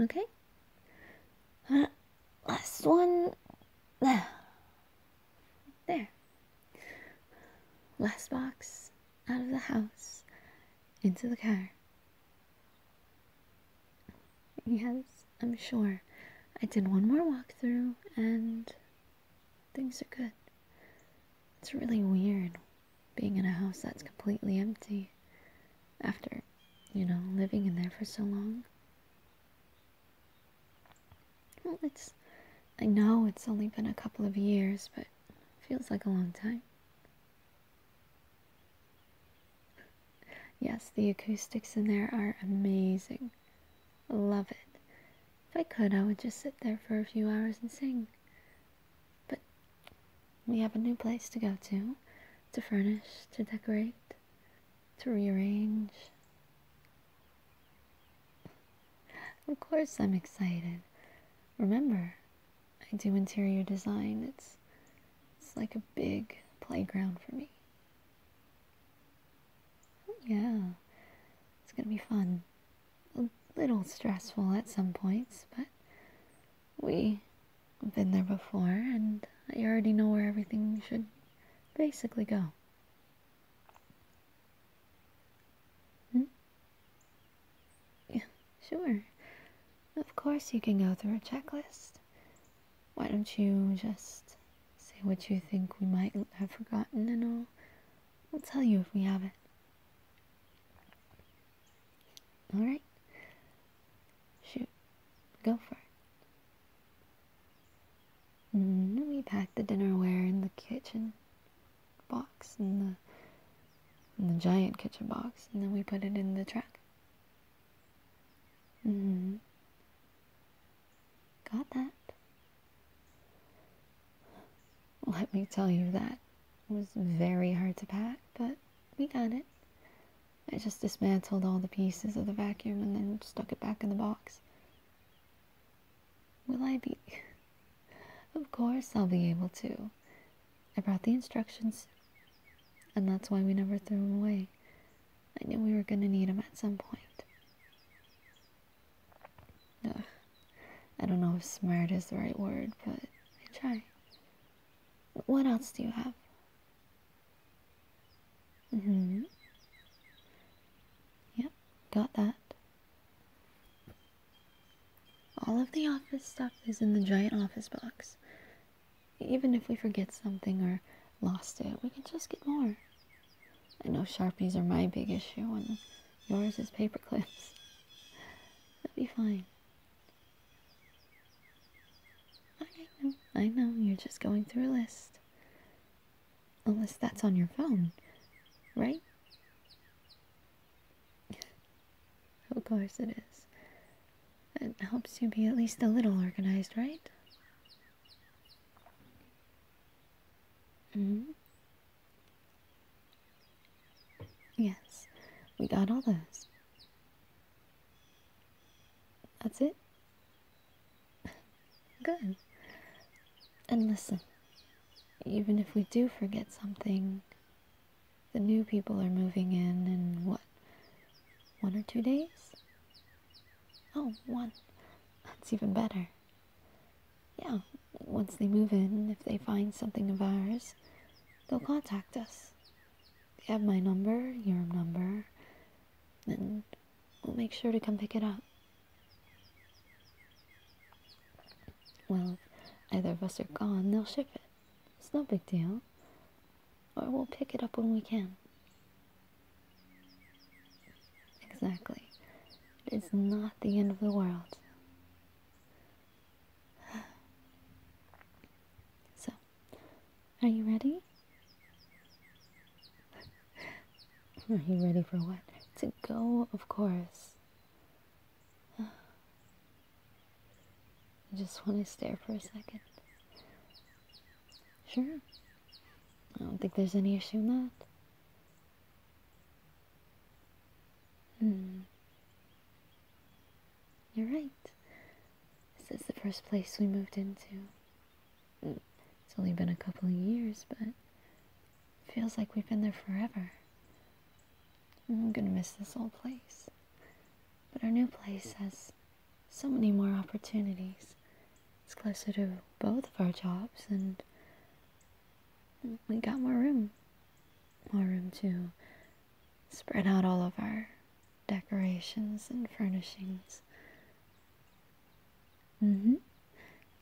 Okay. Uh, last one. There. Last box out of the house into the car. Yes, I'm sure. I did one more walkthrough and things are good. It's really weird being in a house that's completely empty after, you know, living in there for so long. Well, it's. I know it's only been a couple of years, but feels like a long time. Yes, the acoustics in there are amazing. Love it. If I could, I would just sit there for a few hours and sing. But we have a new place to go to, to furnish, to decorate, to rearrange. Of course I'm excited. Remember, I do interior design. It's it's like a big playground for me. Yeah. It's going to be fun a little stressful at some points, but we have been there before and I already know where everything should basically go. Hmm? Yeah, sure. Of course you can go through a checklist. Why don't you just say what you think we might have forgotten and I'll, I'll tell you if we have it. Alright? Shoot. Go for it. And mm, we packed the dinnerware in the kitchen box, in the, in the giant kitchen box, and then we put it in the truck. Mm-hmm. Got that. Let me tell you that was very hard to pack, but we got it. I just dismantled all the pieces of the vacuum and then stuck it back in the box. Will I be? of course I'll be able to. I brought the instructions, and that's why we never threw them away. I knew we were going to need them at some point. Ugh. I don't know if smart is the right word, but I try. What else do you have? Mm-hmm. Yep, got that. All of the office stuff is in the giant office box. Even if we forget something or lost it, we can just get more. I know Sharpies are my big issue and yours is paperclips. That'd be fine. I know, I know, you're just going through a list. Unless that's on your phone, right? of course it is. It helps you be at least a little organized, right? -hmm. Yes, we got all those. That's it? Good. And listen, even if we do forget something, the new people are moving in in what? One or two days? Oh, one. That's even better yeah, once they move in, if they find something of ours, they'll contact us. They have my number, your number, and we'll make sure to come pick it up. Well, either of us are gone, they'll ship it. It's no big deal. Or we'll pick it up when we can. Exactly. It is not the end of the world. So, are you ready? Are you ready for what? To go, of course. I just want to stare for a second. Sure. I don't think there's any issue in that. Mm. You're right. This is the first place we moved into. Mm, it's only been a couple of years, but it feels like we've been there forever. I'm gonna miss this old place. But our new place has so many more opportunities. It's closer to both of our jobs, and we got more room. More room to spread out all of our decorations and furnishings. hmm.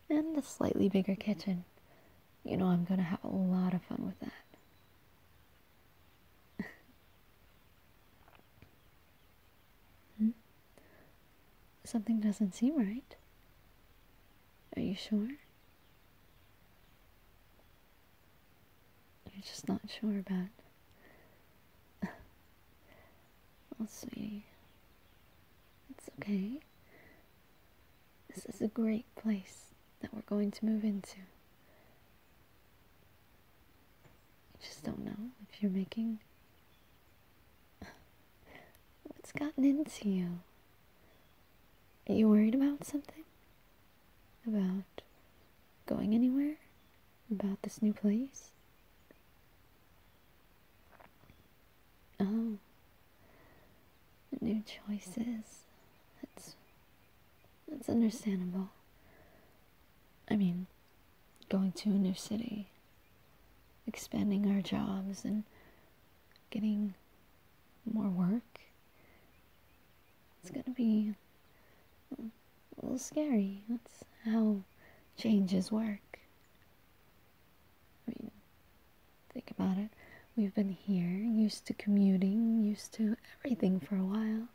And a slightly bigger kitchen. You know, I'm gonna have a lot of fun with that. hmm? Something doesn't seem right. Are you sure? I'm just not sure about. Let's see. It's okay. This is a great place that we're going to move into. I just don't know if you're making. What's gotten into you? Are you worried about something? About going anywhere? About this new place? Oh. New choices. That's that's understandable. I mean, going to a new city, expanding our jobs and getting more work. It's gonna be a little scary. That's how changes work. I mean, think about it. We've been here, used to commuting, used to everything for a while.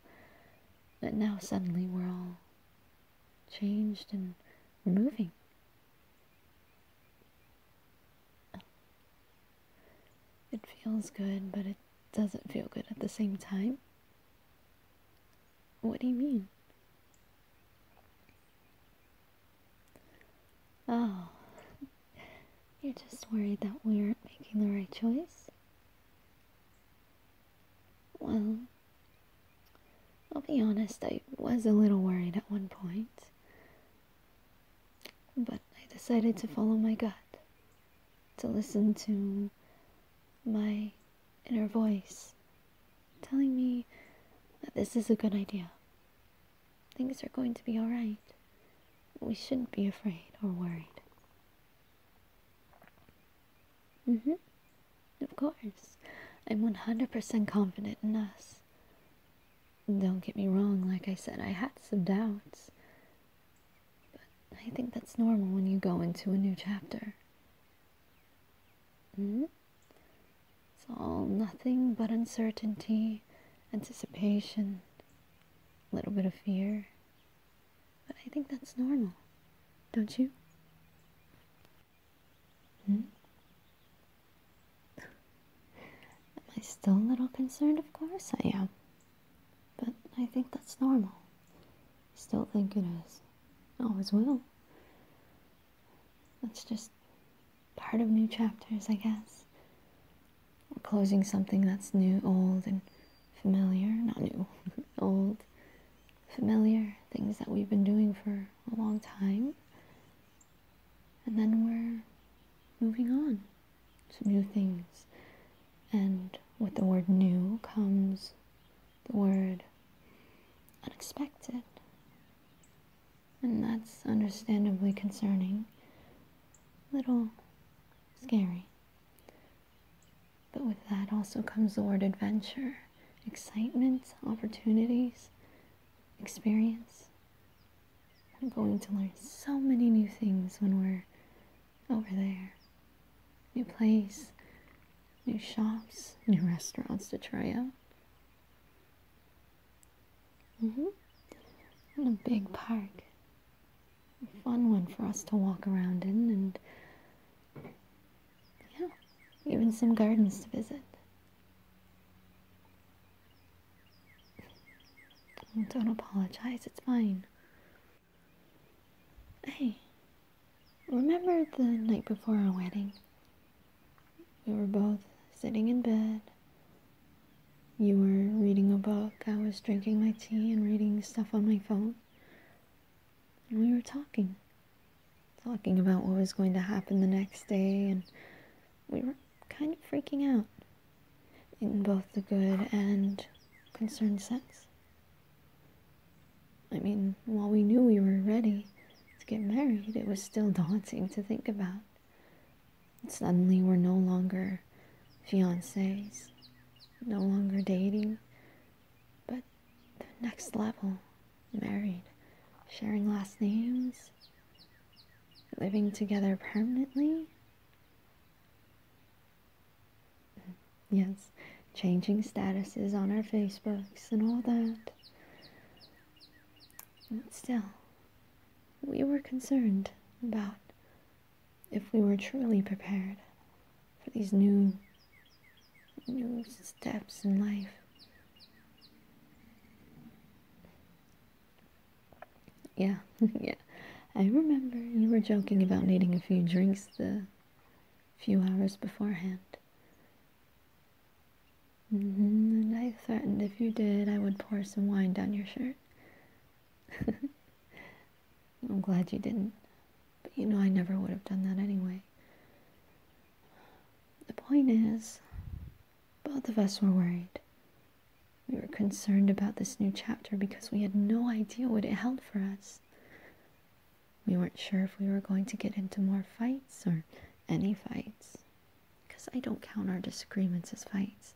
But now suddenly we're all changed and moving. It feels good, but it doesn't feel good at the same time. What do you mean? Oh, you're just worried that we aren't making the right choice? Well, I'll be honest, I was a little worried at one point. But I decided to follow my gut, to listen to my inner voice telling me that this is a good idea. Things are going to be alright. We shouldn't be afraid or worried. Mm hmm. Of course. I'm 100% confident in us. Don't get me wrong, like I said, I had some doubts. But I think that's normal when you go into a new chapter. Mm-hmm. It's all nothing but uncertainty, anticipation, a little bit of fear. But I think that's normal, don't you? Hmm? Am I still a little concerned? Of course I am. But I think that's normal. still think it is. Always will. That's just part of new chapters, I guess. We're closing something that's new, old, and familiar. Not new, old, familiar. Things that we've been doing for a long time and then we're moving on to new things. And with the word new comes the word unexpected. And that's understandably concerning, little scary. But with that also comes the word adventure, excitement, opportunities, experience. I'm going to learn so many new things when we're over there. New place, new shops, new restaurants to try out. hmm And a big park. A fun one for us to walk around in and yeah, even some gardens to visit don't apologize, it's fine. Hey, remember the night before our wedding? We were both sitting in bed. You were reading a book, I was drinking my tea and reading stuff on my phone. And we were talking. Talking about what was going to happen the next day, and we were kind of freaking out in both the good and concerned sense. I mean, while we knew we were ready to get married, it was still daunting to think about. suddenly, we're no longer fiancés, no longer dating, but the next level married, sharing last names, living together permanently? Yes, changing statuses on our Facebooks and all that. But still, we were concerned about if we were truly prepared for these new new steps in life. Yeah, yeah. I remember you were joking about needing a few drinks the few hours beforehand. Mm-hmm, and I threatened if you did, I would pour some wine down your shirt. I'm glad you didn't. But you know, I never would have done that anyway. The point is, both of us were worried. We were concerned about this new chapter because we had no idea what it held for us. We weren't sure if we were going to get into more fights or any fights, because I don't count our disagreements as fights,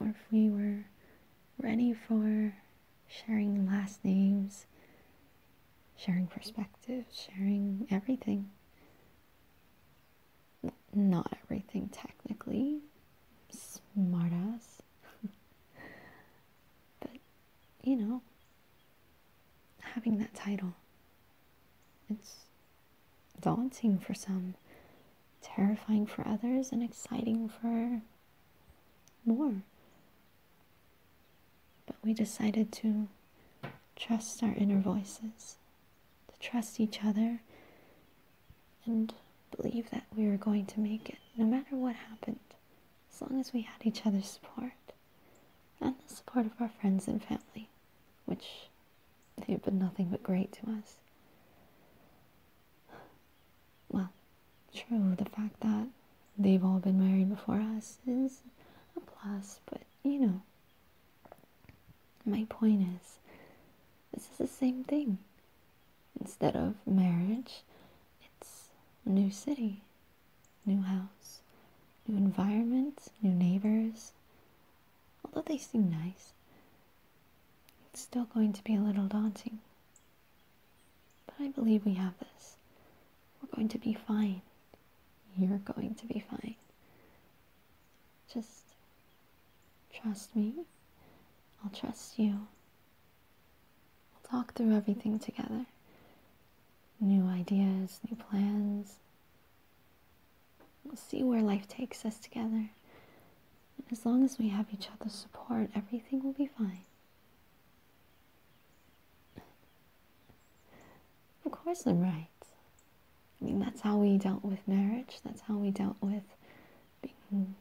or if we were ready for sharing last names, sharing perspectives, sharing everything not everything technically, smartass. but you know, having that title, it's daunting for some, terrifying for others, and exciting for more. But we decided to trust our inner voices to trust each other and believe that we were going to make it no matter what happened, as long as we had each other's support and the support of our friends and family, which they've been nothing but great to us. Well, true, the fact that they've all been married before us is a plus, but you know. My point is, this is the same thing. Instead of marriage, it's a new city, new house, new environment, new neighbors. Although they seem nice, it's still going to be a little daunting. But I believe we have this. We're going to be fine. You're going to be fine. Just trust me. I'll trust you. We'll talk through everything together. New ideas, new plans. We'll see where life takes us together. as long as we have each other's support, everything will be fine. Of course, I'm right. I mean, that's how we dealt with marriage. That's how we dealt with being,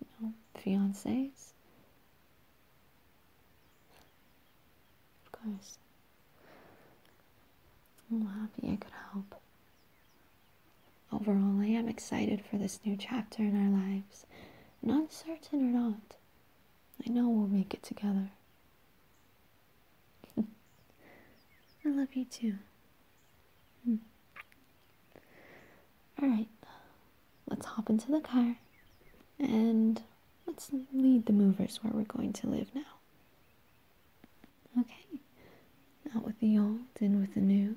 you know, fiancés. Of course. I'm happy I could help. Overall, I am excited for this new chapter in our lives. Not certain or not, I know we'll make it together. I love you too. Hmm. Alright, let's hop into the car and let's lead the movers where we're going to live now. Okay, out with the old, in with the new.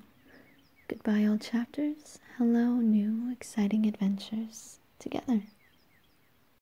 Goodbye, old chapters. Hello, new, exciting adventures together.